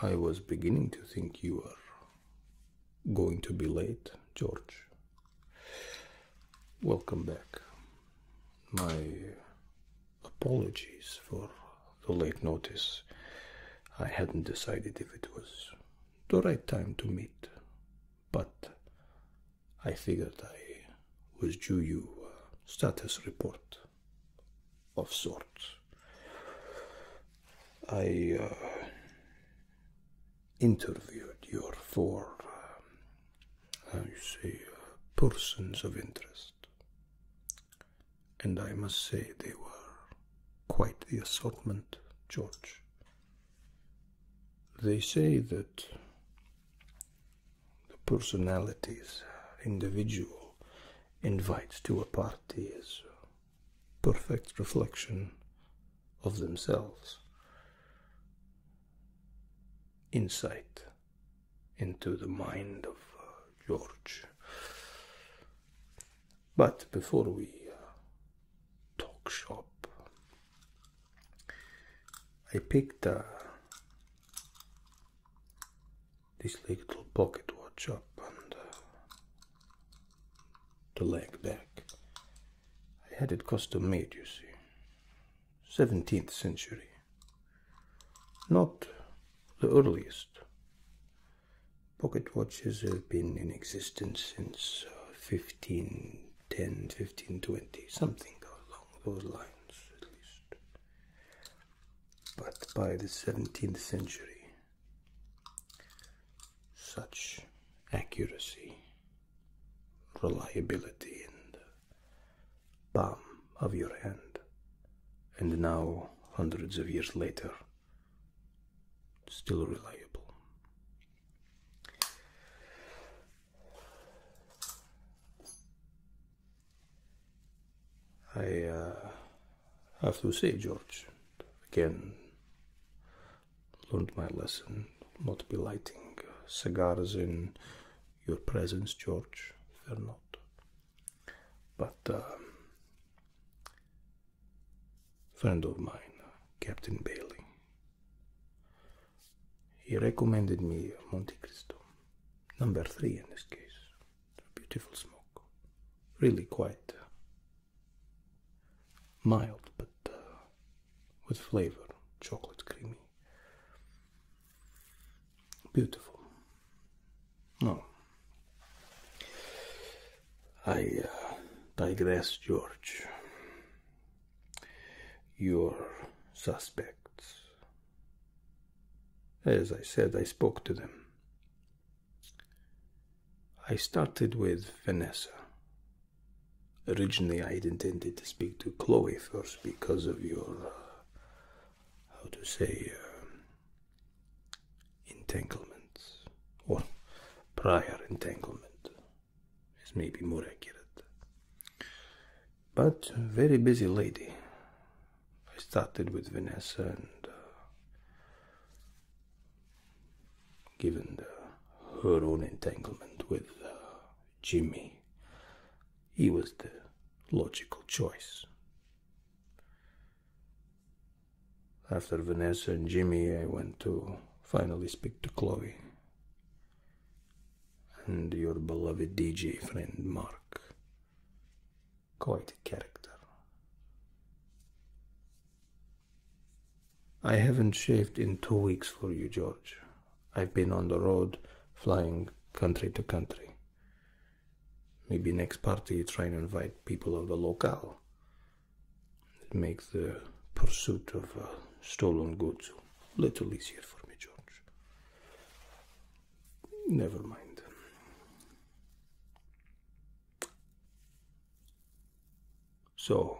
I was beginning to think you were going to be late, George. Welcome back. My apologies for the late notice. I hadn't decided if it was the right time to meet, but I figured I was due you a status report of sorts. I uh, interviewed your four, um, how you say, uh, persons of interest, and I must say they were quite the assortment, George. They say that the personalities individual invites to a party is perfect reflection of themselves insight into the mind of uh, George. But before we uh, talk shop, I picked a this little pocket watch up and uh, the leg back. I had it custom made, you see. 17th century. Not the earliest. Pocket watches have been in existence since uh, 1510, something along those lines at least. But by the 17th century, such accuracy, reliability, and palm of your hand, and now, hundreds of years later, still reliable. I uh, have to say, George, again, learned my lesson not be lighting cigars in your presence, George. They're not. But a uh, friend of mine, Captain Bailey, he recommended me Monte Cristo number three in this case. Beautiful smoke, really quite uh, mild, but uh, with flavor, chocolate creamy. Beautiful. No, I uh, digress, George. Your suspects as I said, I spoke to them. I started with Vanessa. Originally, I had intended to speak to Chloe first because of your, uh, how to say, uh, entanglements, or prior entanglement, is maybe more accurate but very busy lady. I started with Vanessa and uh, given her own entanglement with uh, Jimmy, he was the logical choice. After Vanessa and Jimmy, I went to finally speak to Chloe and your beloved DJ friend Mark. Quite a character. I haven't shaved in two weeks for you, George. I've been on the road, flying country to country. Maybe next party you try and invite people of the local. It makes the pursuit of uh, stolen goods a little easier for me, George. Never mind. So,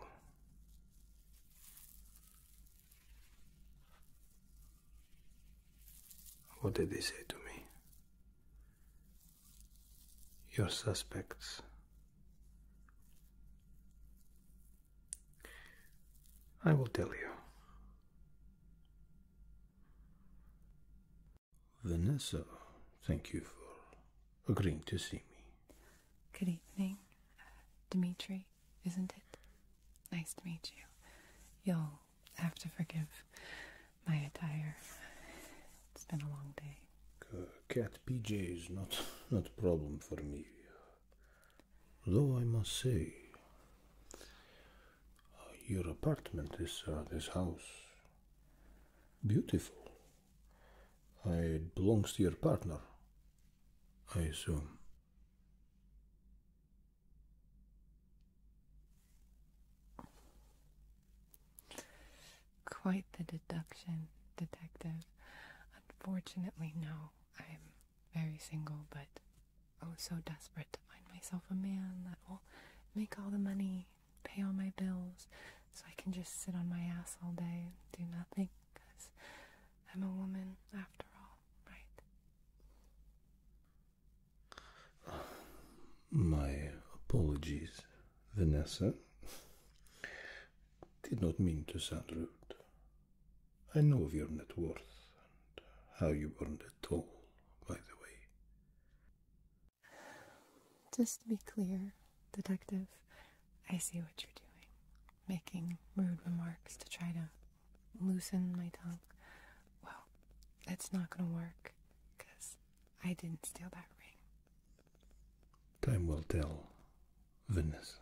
what did they say to me? Your suspects. I will tell you. Vanessa, thank you for agreeing to see me. Good evening, uh, Dimitri, isn't it? Nice to meet you. You'll have to forgive my attire. It's been a long day. cat PJ is not not a problem for me. Though I must say, your apartment, this uh, this house. Beautiful. It belongs to your partner, I assume. Quite the deduction, detective. Unfortunately, no. I'm very single, but I was so desperate to find myself a man that will make all the money, pay all my bills, so I can just sit on my ass all day and do nothing, because I'm a woman after all, right? My apologies, Vanessa. Did not mean to sound rude. I know of your net worth and how you earned it at all, by the way. Just to be clear, Detective, I see what you're doing. Making rude remarks to try to loosen my tongue. Well, it's not gonna work, because I didn't steal that ring. Time will tell, Vanessa.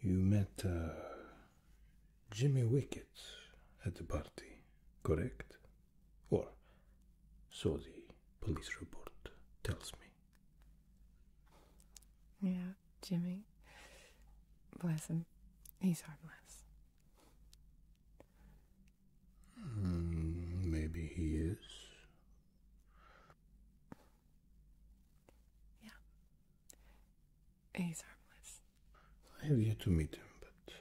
You met uh, Jimmy Wickett at the party, correct? Or so the police report tells me. Yeah, Jimmy. Bless him. He's harmless. Mm, maybe he is. Yeah. He's harmless. I have yet to meet him, but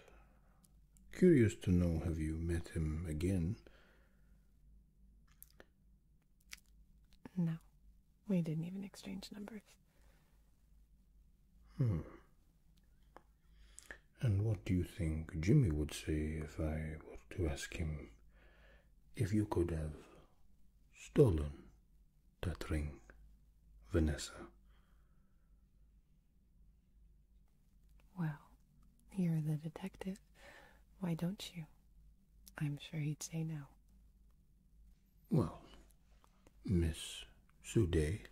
curious to know have you met him again? No. We didn't even exchange numbers. Hmm. And what do you think Jimmy would say if I were to ask him if you could have stolen that ring, Vanessa. Well, you're the detective. Why don't you? I'm sure he'd say no. Well, Miss Sude,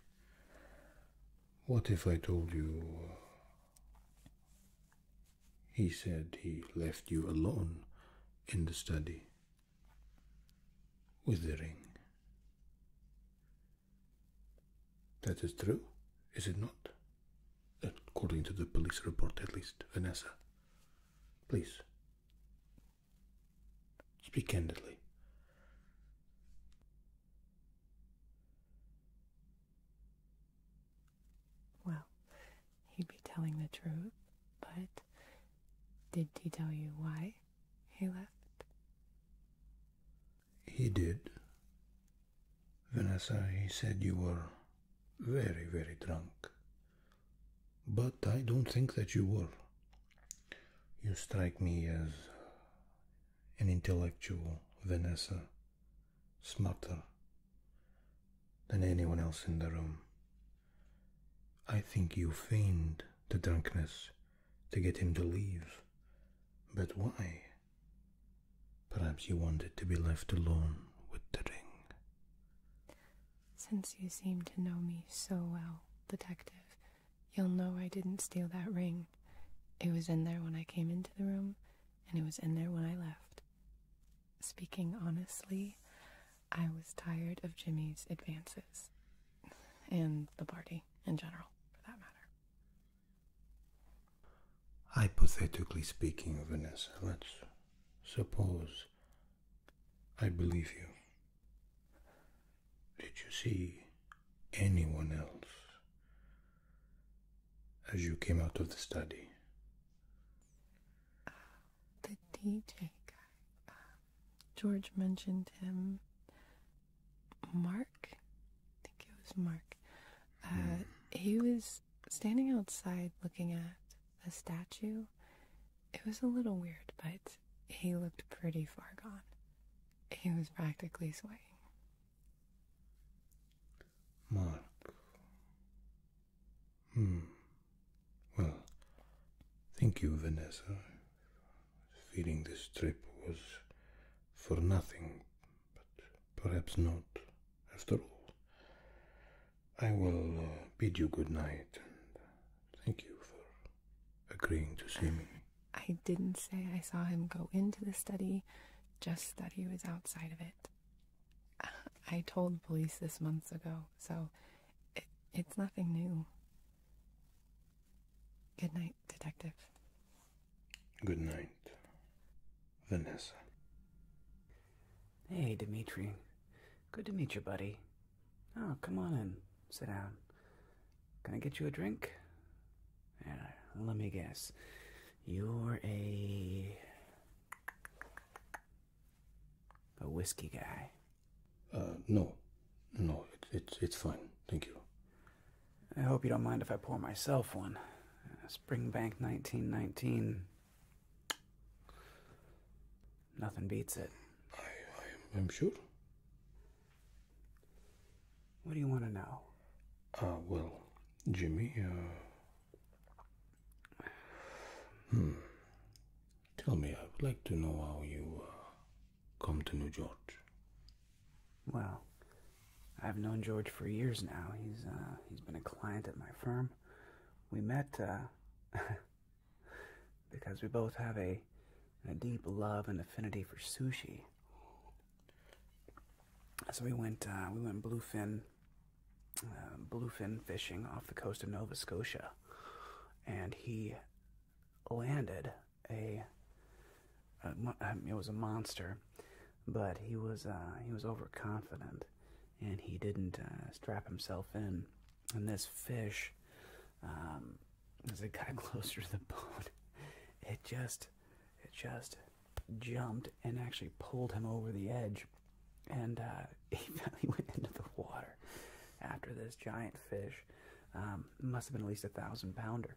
what if I told you uh, he said he left you alone in the study with the ring. That is true, is it not? According to the police report, at least, Vanessa. Please. Speak candidly. Well, he'd be telling the truth, but did he tell you why? he left? He did. Vanessa, he said you were very, very drunk. But I don't think that you were. You strike me as an intellectual, Vanessa, smarter than anyone else in the room. I think you feigned the drunkenness to get him to leave. But why? Perhaps you wanted to be left alone with the ring. Since you seem to know me so well, Detective, you'll know I didn't steal that ring. It was in there when I came into the room, and it was in there when I left. Speaking honestly, I was tired of Jimmy's advances and the party in general, for that matter. Hypothetically speaking, Vanessa, let's suppose I believe you. Did you see anyone else as you came out of the study? Uh, the DJ guy. Um, George mentioned him. Mark, I think it was Mark. Uh, hmm. He was standing outside looking at a statue. It was a little weird, but he looked pretty far gone. He was practically swaying. Mark. Hmm. Well, thank you, Vanessa. Feeling this trip was for nothing, but perhaps not after all. I will uh, bid you good night and thank you for agreeing to see me. I didn't say I saw him go into the study, just that he was outside of it. I told police this months ago, so it's nothing new. Good night, Detective. Good night, Vanessa. Hey, Dimitri. Good to meet you, buddy. Oh, come on in. Sit down. Can I get you a drink? Yeah, let me guess. You're a. a whiskey guy. Uh, no, no, it, it's fine. Thank you. I hope you don't mind if I pour myself one. Springbank 1919. Nothing beats it. I, I, am sure. What do you want to know? Uh, well, Jimmy, uh, Hmm. Tell me, I would like to know how you uh, come to know George. Well, I've known George for years now. He's uh, he's been a client at my firm. We met uh, because we both have a a deep love and affinity for sushi. So we went we went bluefin bluefin fishing off the coast of Nova Scotia, and he landed a, it was a monster, but he was uh, he was overconfident, and he didn't uh, strap himself in. And this fish, um, as it got closer to the boat, it just it just jumped and actually pulled him over the edge, and uh, he went into the water after this giant fish. Um, must have been at least a thousand pounder.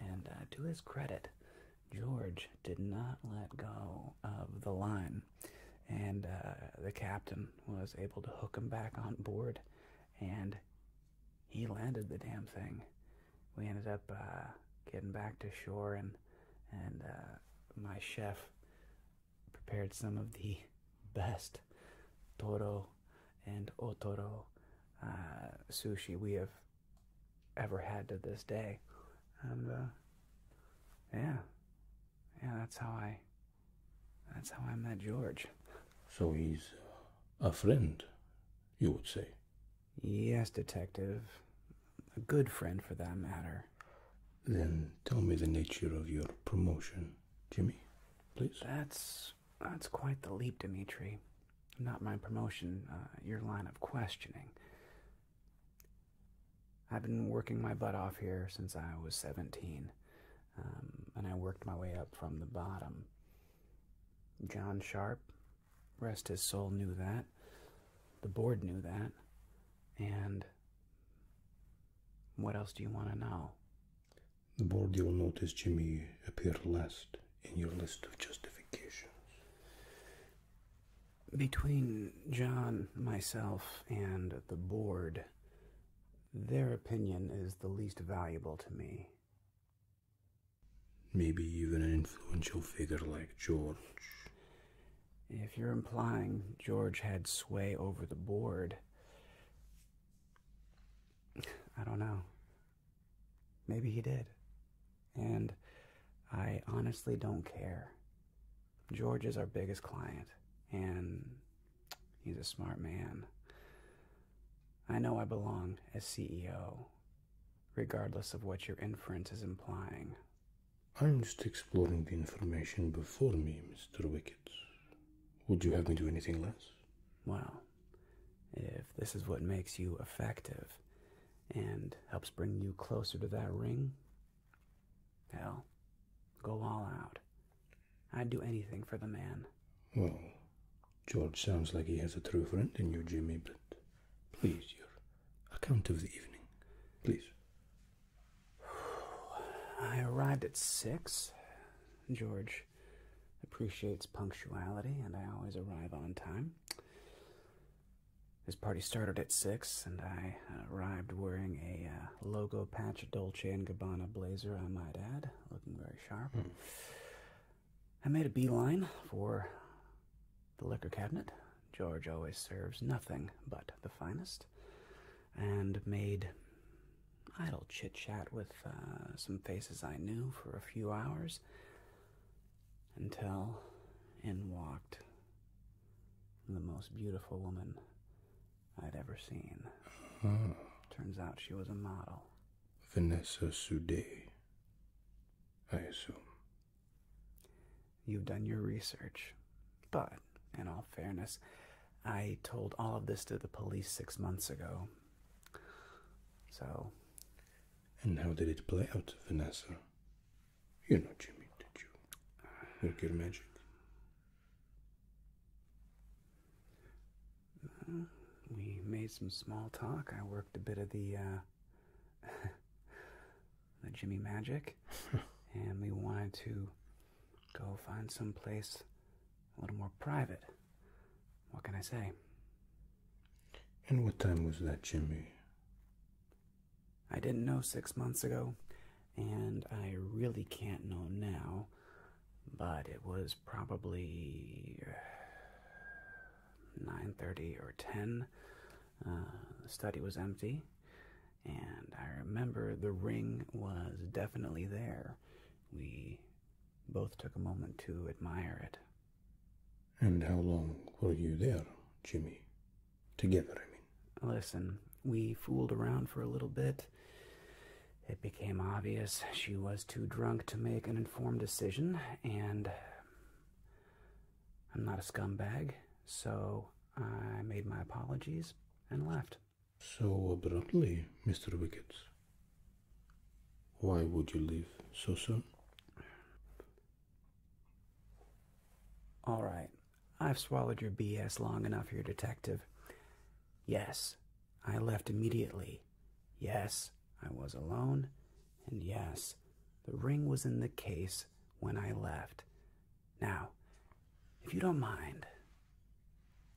And uh, to his credit, George did not let go of the line, and uh, the captain was able to hook him back on board, and he landed the damn thing. We ended up uh, getting back to shore, and and my chef prepared some of the best Toro and Otoro uh, sushi we have ever had to this day. And uh, yeah, yeah, that's how I, that's how I met George. So he's a friend, you would say. Yes, detective. A good friend for that matter. Then tell me the nature of your promotion, Jimmy, please. That's that's quite the leap, Dimitri. Not my promotion, uh, your line of questioning. I've been working my butt off here since I was 17, um, and I worked my way up from the bottom. John Sharp, rest his soul, knew that. The board knew that. And what else do you want to know? the board you will notice Jimmy appear last in your list of justifications. Between John, myself, and the board, their opinion is the least valuable to me. Maybe even an influential figure like George. If you're implying George had sway over the board, I don't know. Maybe he did. And I honestly don't care. George is our biggest client, and he's a smart man. I know I belong as CEO, regardless of what your inference is implying. I'm just exploring the information before me, Mr. Wick. Would you have me do anything less? Well, if this is what makes you effective and helps bring you closer to that ring, hell, go all out. I'd do anything for the man. Well, George sounds like he has a true friend in you, Jimmy, but please, your account of the evening. Please. I arrived at six. George appreciates punctuality, and I always arrive on time. This party started at six, and I arrived wearing a uh, logo patch Dolce and Gabbana blazer. I might add, looking very sharp. Hmm. I made a beeline for the liquor cabinet. George always serves nothing but the finest, and made idle chit chat with uh, some faces I knew for a few hours until in walked the most beautiful woman I'd ever seen. Hmm. Turns out she was a model. Vanessa Sude, I assume. You've done your research, but in all fairness, I told all of this to the police six months ago, so. And how did it play out, Vanessa? you know Jimmy, did you? Work good magic. Uh, we made some small talk. I worked a bit of the uh, the Jimmy magic, and we wanted to go find some place a little more private. What can I say? And what time was that, Jimmy? I didn't know six months ago, and I really can't know now, but it was probably uh, 9.30 or 10. Uh, the study was empty, and I remember the ring was definitely there. We both took a moment to admire it. And how long were you there, Jimmy? Together, I mean. Listen, we fooled around for a little bit. It became obvious she was too drunk to make an informed decision, and I'm not a scumbag, so I made my apologies and left. So abruptly, Mr. Wickets. Why would you leave so soon? All right. I've swallowed your BS long enough here, Detective. Yes, I left immediately. Yes, I was alone. And yes, the ring was in the case when I left. Now, if you don't mind,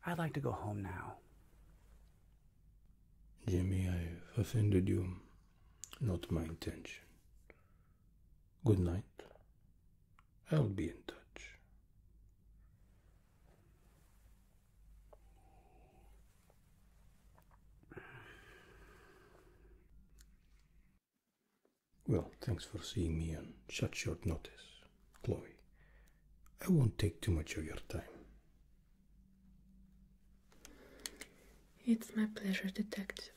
I'd like to go home now. Jimmy, I've offended you. Not my intention. Good night. I'll be in touch. Well, thanks for seeing me on such short notice, Chloe. I won't take too much of your time. It's my pleasure, detective.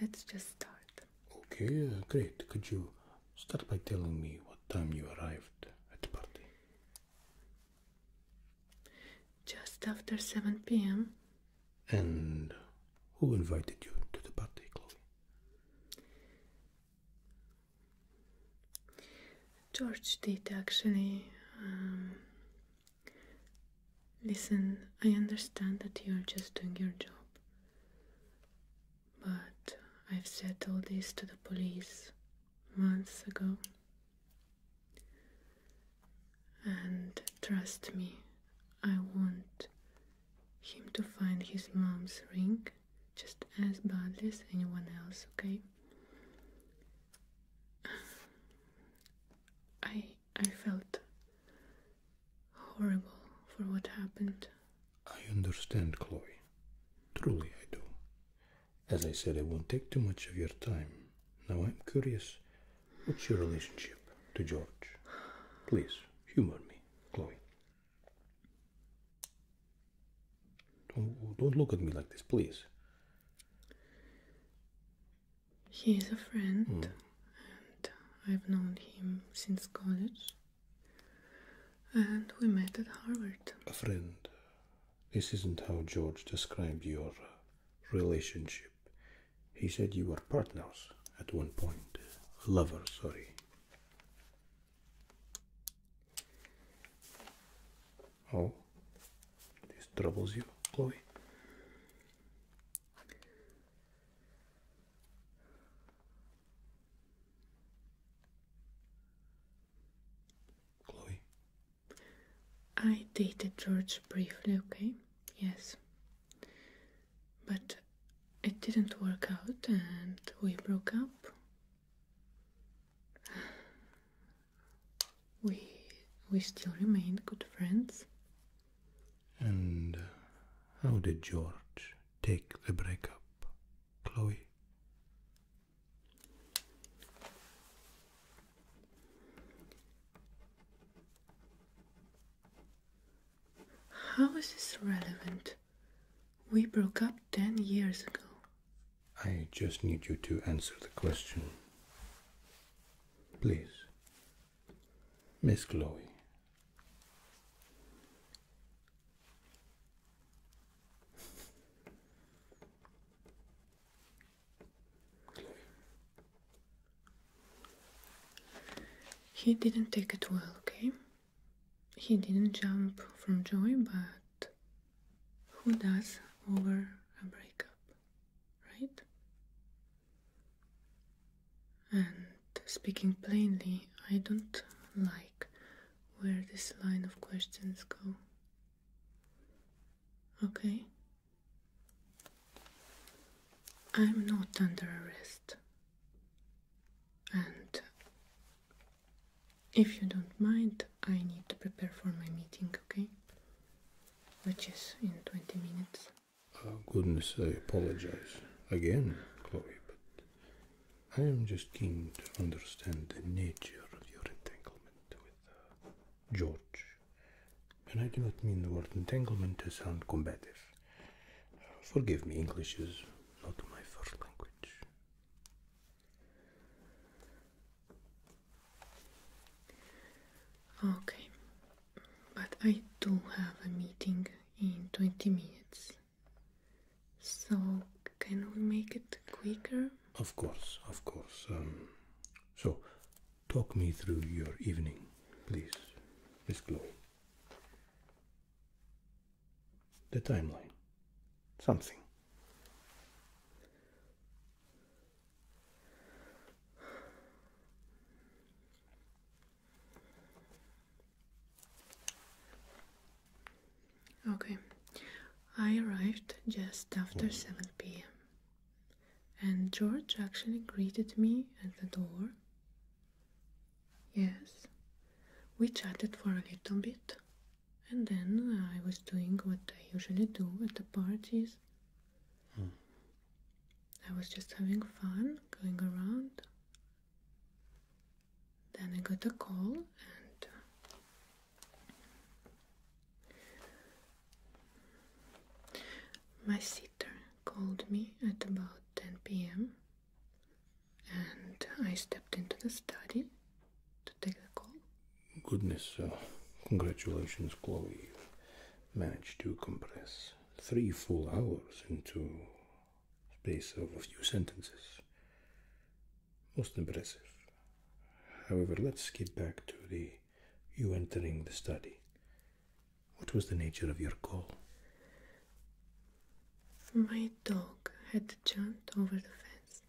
Let's just start. Okay, uh, great. Could you start by telling me what time you arrived at the party? Just after 7 p.m. And who invited you to the party, Chloe? George did actually um, listen. I understand that you're just doing your job, but I've said all this to the police months ago, and trust me, I want him to find his mom's ring just as badly as anyone else, okay? I I felt horrible for what happened. I understand, Chloe. Truly I do. As I said, I won't take too much of your time. Now I'm curious, what's your relationship to George? Please, humor me, Chloe. Don't, look at me like this, please. He is a friend, hmm. and I've known him since college. And we met at Harvard. A friend. This isn't how George described your uh, relationship. He said you were partners at one point. Lovers, sorry. Oh, this troubles you, Chloe. Chloe. I dated George briefly, okay? Yes. But it didn't work out and we broke up we we still remain good friends. And uh, how did George take the breakup, Chloe? How is this relevant? We broke up ten years ago. I just need you to answer the question. Please. Miss Chloe. He didn't take it well, okay? He didn't jump from joy, but who does over a breakup, right? And speaking plainly, I don't like where this line of questions go. Okay? I'm not under arrest. And if you don't mind, I need to prepare for my meeting, okay? Which is in 20 minutes. Oh, goodness, I apologize again, Chloe, but I am just keen to understand the nature of your entanglement with uh, George. And I do not mean the word entanglement to sound combative. Uh, forgive me, English is not my first language. Okay, but I do have a meeting in 20 minutes. So, can we make it quicker? Of course, of course. Um, so, talk me through your evening, please, Miss Glow. The timeline. Something. Okay, I arrived just after 7 pm, and George actually greeted me at the door. Yes, we chatted for a little bit and then I was doing what I usually do at the parties. Hmm. I was just having fun going around. Then I got a call and my sitter called me at about 10 p.m. and I stepped into the study to take the call. Goodness, uh, congratulations, Chloe. You managed to compress three full hours into space of a few sentences. Most impressive. However, let's skip back to the you entering the study. What was the nature of your call? My dog had jumped over the fence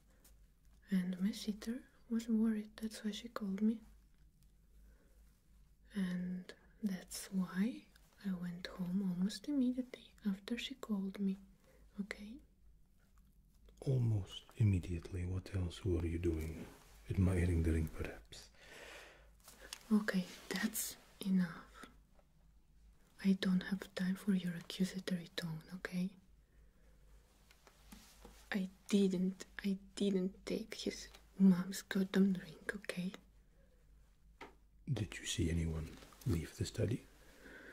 and my sitter was worried, that's why she called me. And that's why I went home almost immediately after she called me, okay? Almost immediately. What else were you doing? Admiring the ring, perhaps? Okay, that's enough. I don't have time for your accusatory tone, okay? I didn't, I didn't take his mom's goddamn drink, okay? Did you see anyone leave the study,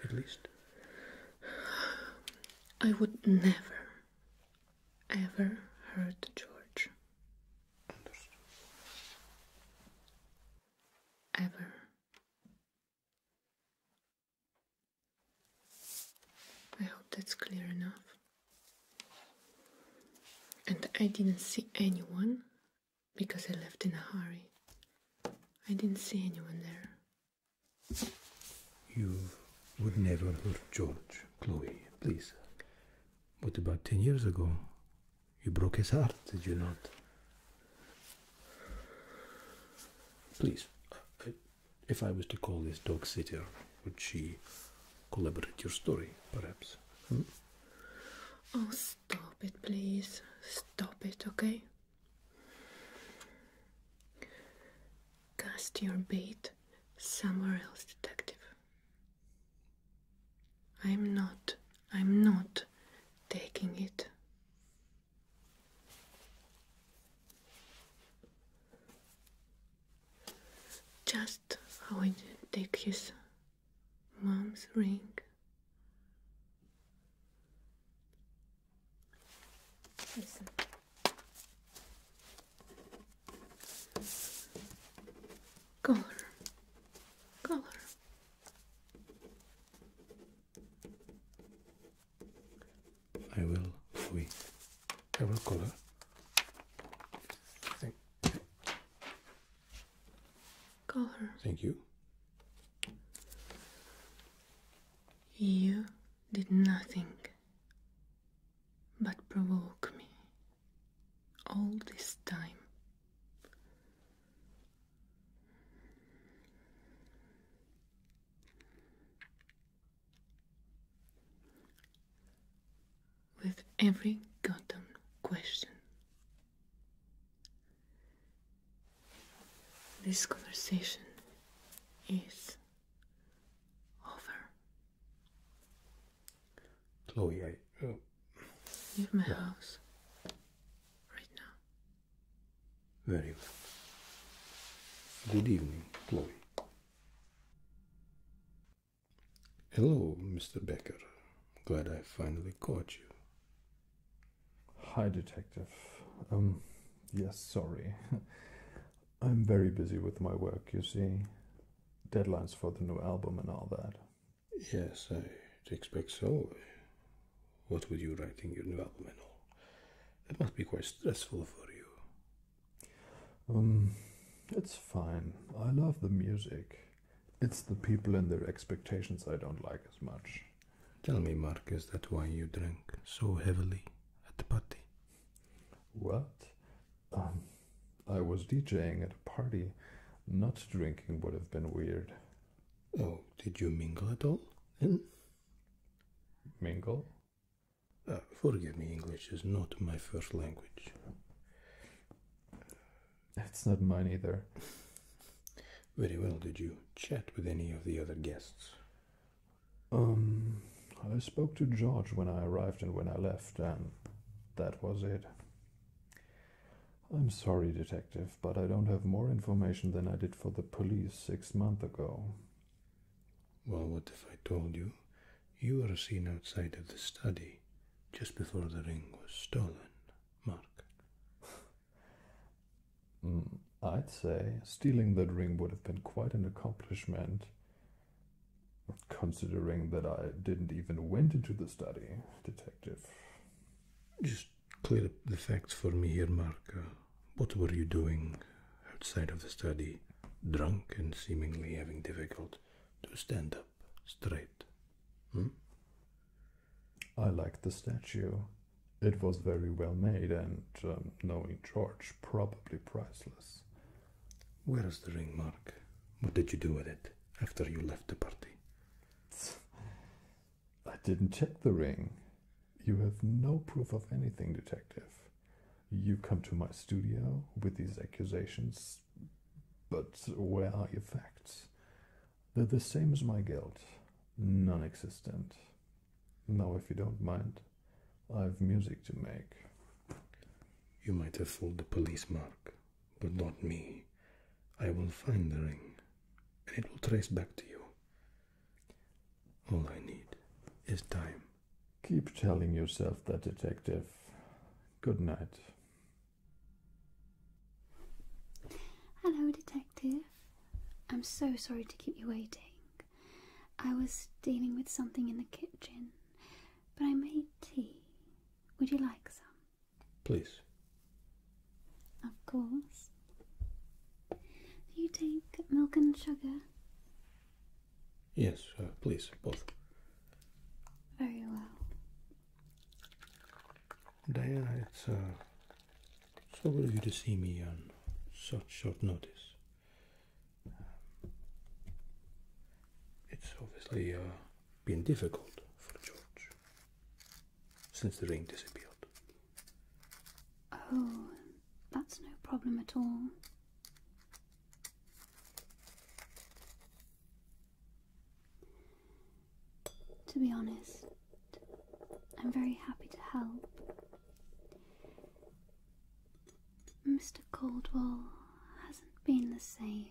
at least? I would never, ever hurt George. Ever. I hope that's clear enough. And I didn't see anyone because I left in a hurry. I didn't see anyone there. You would never hurt George, Chloe, please. But about ten years ago, you broke his heart, did you not? Please, if I was to call this dog sitter, would she collaborate your story, perhaps? Hmm? Oh, stop it, please. Stop it, okay? Cast your bait somewhere else, detective. I'm not, I'm not taking it. Just how I did take his mom's ring. Color. Color. I will with several color. Thank, color. Thank you. You did nothing but provoke me all this time with every goddamn question. This conversation is over. Chloe, I. Uh, Leave my house right now. Very well. Good evening, Chloe. Hello, Mr. Becker. Glad I finally caught you. Hi, Detective. Um, yes, sorry. I'm very busy with my work, you see. Deadlines for the new album and all that. Yes, I expect so. What would you write in your new album and all? That must be quite stressful for you. Um, it's fine. I love the music. It's the people and their expectations I don't like as much. Tell me, Mark, is that why you drank so heavily at the party? What? Um, I was DJing at a party. Not drinking would have been weird. Oh, did you mingle at all Mingle? Ah, forgive me, English is not my first language. That's not mine either. Very well. Did you chat with any of the other guests? Um, I spoke to George when I arrived and when I left, and that was it. I'm sorry, detective, but I don't have more information than I did for the police six months ago. Well, what if I told you you were seen outside of the study just before the ring was stolen, Mark? Mm, I'd say stealing that ring would have been quite an accomplishment, considering that I didn't even went into the study, Detective. Just clear up the facts for me here, Mark. Uh, what were you doing outside of the study, drunk and seemingly having difficulty to stand up straight? Hmm? I liked the statue. It was very well made and, knowing um, George, probably priceless. Where is the ring, Mark? What did you do with it after you left the party? I didn't check the ring. You have no proof of anything, Detective. You come to my studio with these accusations, but where are your facts? They're the same as my guilt, non existent. Now, if you don't mind, I've music to make. You might have fooled the police, Mark, but not me. I will find the ring, and it will trace back to you. All I need is time. Keep telling yourself that, Detective. Good night. Hello, Detective. I'm so sorry to keep you waiting. I was dealing with something in the kitchen, but I made tea. Would you like some? Please. Of course. Do you take milk and sugar? Yes, uh, please, both. Very well. Diana, it's uh, so good of you to see me on such short notice. Um, it's obviously uh, been difficult for George since the ring disappeared. Oh, that's no problem at all. To be honest, I'm very happy to help. Mr. Caldwell hasn't been the same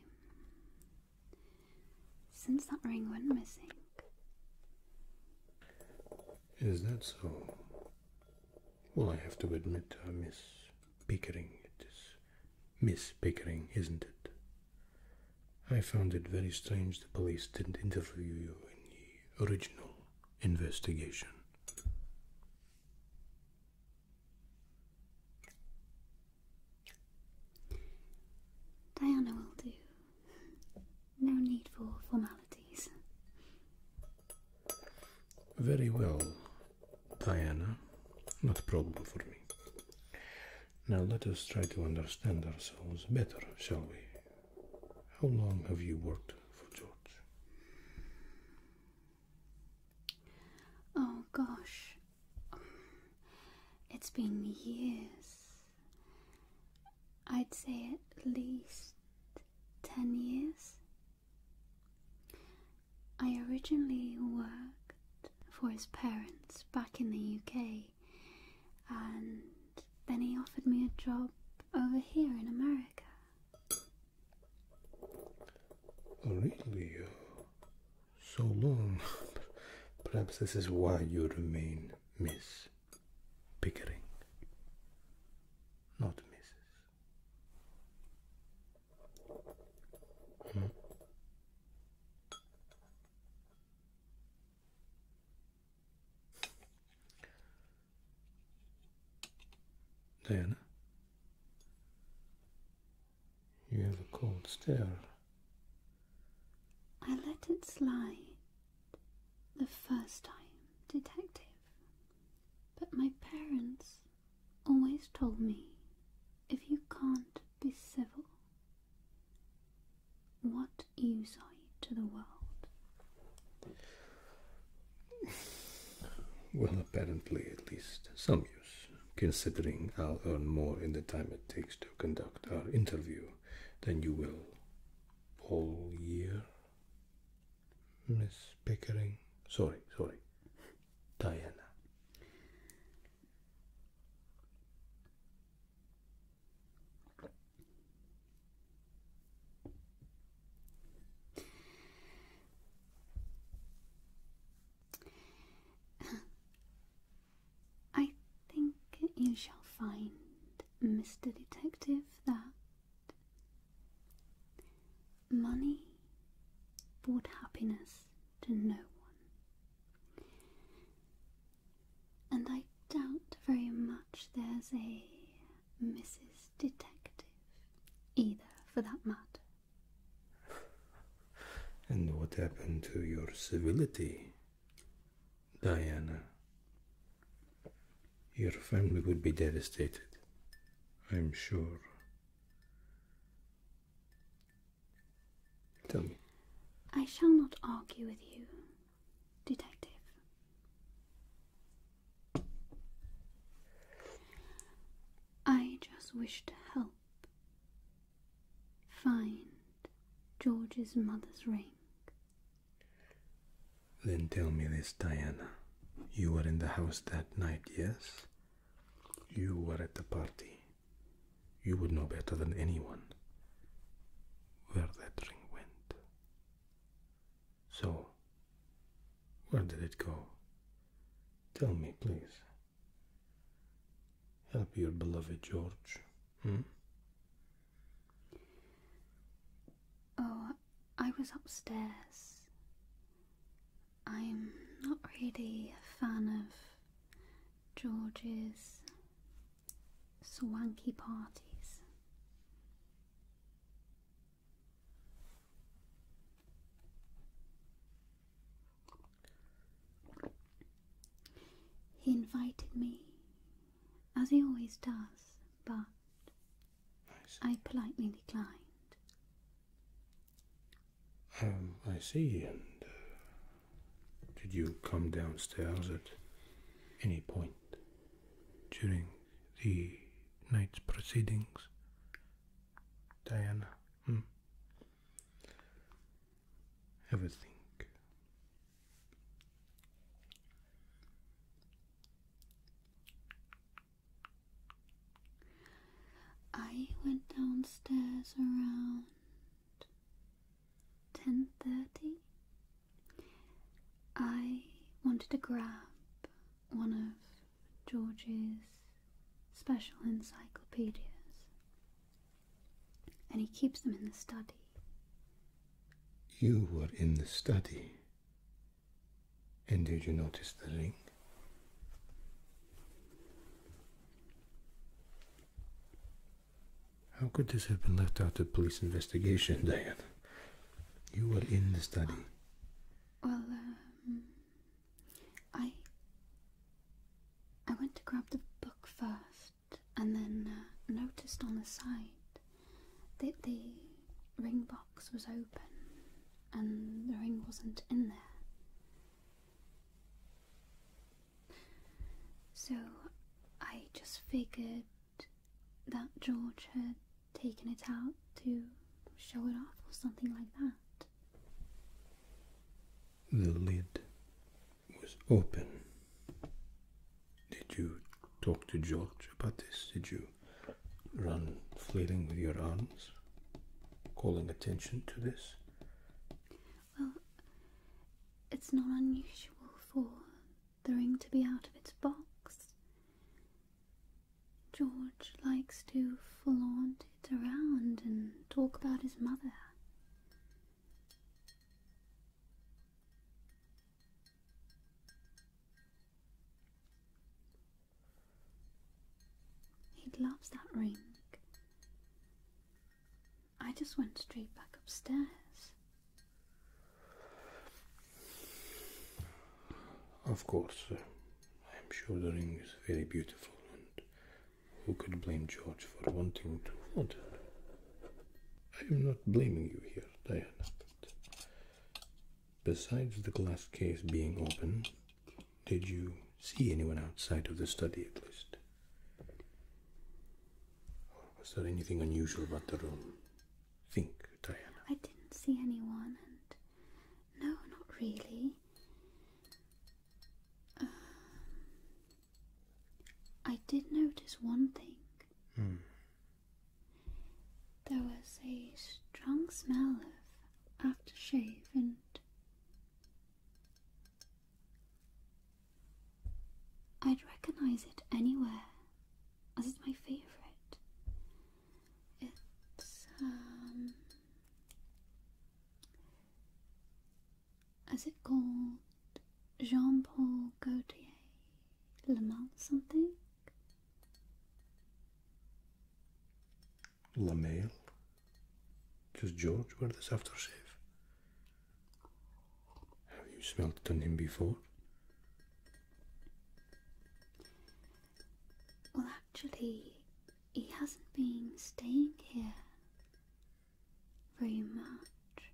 since that ring went missing. Is that so? Well, I have to admit, uh, Miss Pickering, it is Miss Pickering, isn't it? I found it very strange the police didn't interview you in the original investigation. Diana will do. No need for formalities. Very well, Diana. Not a problem for me. Now let us try to understand ourselves better, shall we? How long have you worked for George? Oh gosh. It's been years. I'd say at least 10 years, I originally worked for his parents back in the UK, and then he offered me a job over here in America. really? Uh, so long. Perhaps this is why you remain Miss Pickering, not Mrs. Hmm. Diana, you have a cold stare. I let it slide the first time, Detective, but my parents always told me if you can't be civil, what use are you to the world? Well, apparently, at least some use, considering I'll earn more in the time it takes to conduct our interview than you will all year. Miss Pickering. Sorry, sorry. Diana. I think you shall find, Mr. Detective, that Money brought happiness to no one. And I doubt very much there's a Mrs. Detective either, for that matter. And what happened to your civility, Diana? Your family would be devastated, I'm sure. Tell me. I shall not argue with you, Detective. I just wish to help find George's mother's ring. Then tell me this, Diana. You were in the house that night, yes? You were at the party. You would know better than anyone where that ring went. So, where did it go? Tell me, please. Help your beloved George. Hmm? Oh, I was upstairs. I'm not really a fan of George's swanky parties. He invited me, as he always does, but I politely declined. Um, I see. And uh, did you come downstairs at any point during the night's proceedings, Diana? Hmm? Have a think. I went downstairs around 10:30. I wanted to grab one of George's special encyclopedias, and he keeps them in the study. You were in the study? And did you notice the ring? How could this have been left out of police investigation, Diane? You were in the study. Well, um, I. I went to grab the book first and then uh, noticed on the side that the ring box was open and the ring wasn't in there. So I just figured that George had taken it out to show it off or something like that. The lid was open. Did you talk to George about this? Did you run flailing with your arms? calling attention to this? Well, it's not unusual for the ring to be out of its box. George likes to flaunt it around and talk about his mother. He loves that ring. I just went straight back upstairs. Of course, I'm sure the ring is very beautiful, and who could blame George for wanting to flaunt it? I am not blaming you here, Diana, besides the glass case being open, did you see anyone outside of the study at least? Was there anything unusual about the room? Think, Diana. I didn't see anyone, and no, not really. Um, I did notice one thing. Hmm. There was a strong smell of aftershave and I'd recognize it anywhere, as it's my favorite. It's, um. Is it called Jean Paul Gautier Le Mans something? La male. Just George wear this aftershave? Have you smelled it before? Well, actually, he hasn't been staying here very much.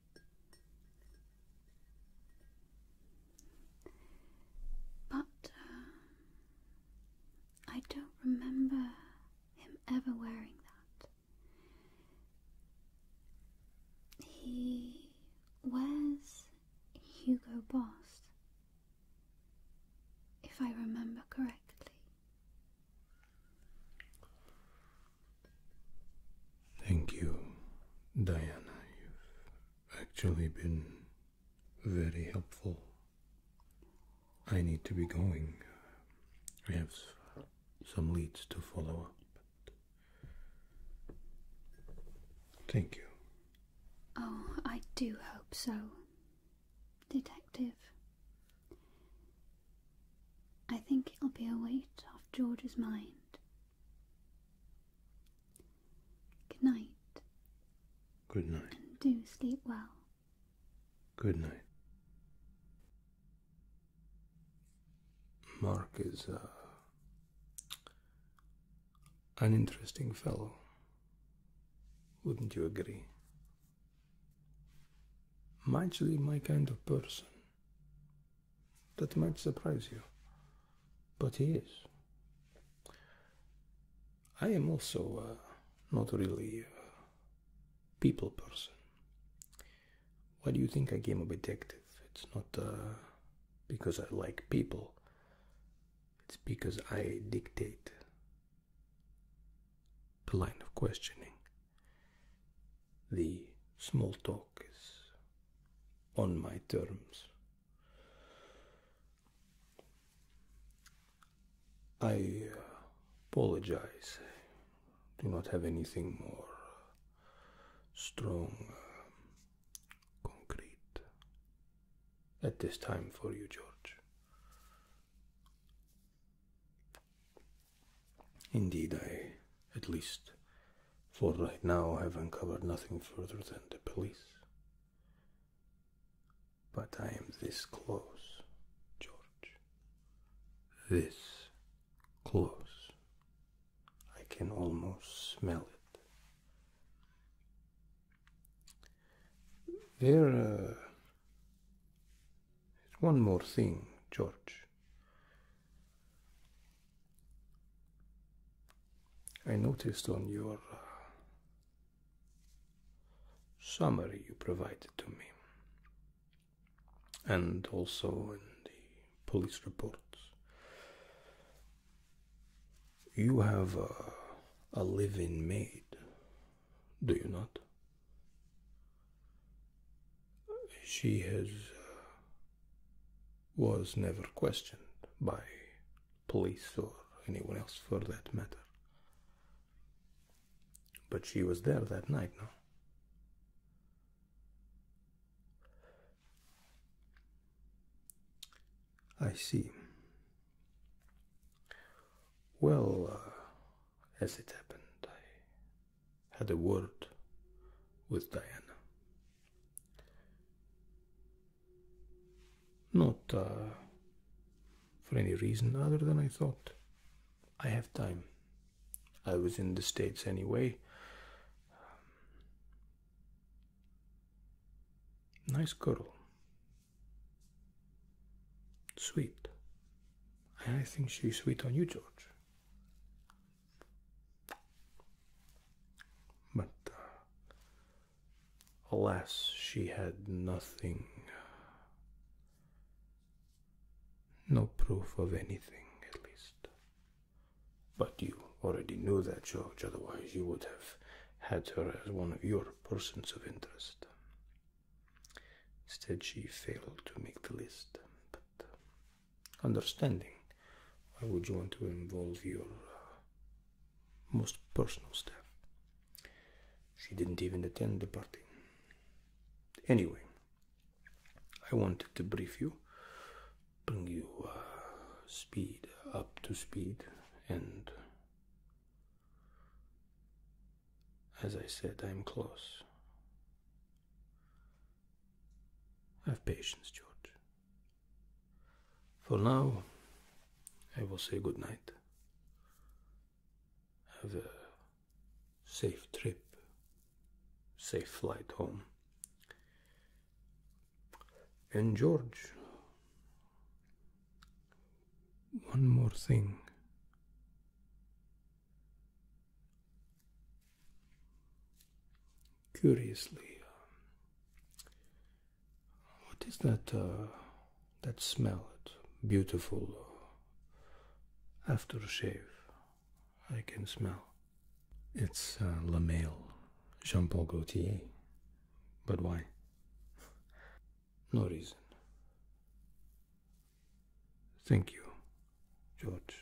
But uh, I don't remember him ever wearing that. He wears Hugo Boss, if I remember correctly. Thank you, Diana. You've actually been very helpful. I need to be going. I have some leads to follow up. Thank you. Oh, I do hope so, Detective. I think it'll be a weight off George's mind. Good night. Good night. do sleep well. Good night. Mark is uh, an interesting fellow. Wouldn't you agree? Mightly my kind of person. That might surprise you, but he is. I am also not really a people person. Why do you think I became a detective? It's not uh, because I like people. It's because I dictate the line of questioning. The small talk is on my terms. I uh, apologize. Do not have anything more uh, strong, uh, concrete at this time for you, George. Indeed, I, at least for right now, have uncovered nothing further than the police. But I am this close, George. This close. I can almost smell it. There uh, one more thing, George. I noticed on your uh, summary you provided to me, and also in the police reports. You have a, living maid, do you not? She has. Uh, was never questioned by police or anyone else for that matter. But she was there that night, Now I see. Well, uh, as it happened, I had a word with Diana. Not uh, for any reason other than I thought. I have time. I was in the States anyway. nice girl. Sweet. I think she's sweet on you, George. But uh, alas, she had nothing no proof of anything, at least. But you already knew that, George, otherwise, you would have had her as one of your persons of interest. Instead, she failed to make the list. But understanding, why would you want to involve your uh, most personal staff? She didn't even attend the party. Anyway, I wanted to brief you, bring you uh, speed up to speed, and as I said, I'm close. Have patience, George. For now, I will say good night. Have a safe trip, safe flight home. And George, one more thing. Curiously, uh, what is that? Uh, that smelled beautiful uh, After shave, I can smell. It's uh, La Mail, Jean Gaultier. But why? no reason. Thank you, George.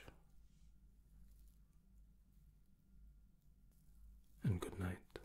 And good night.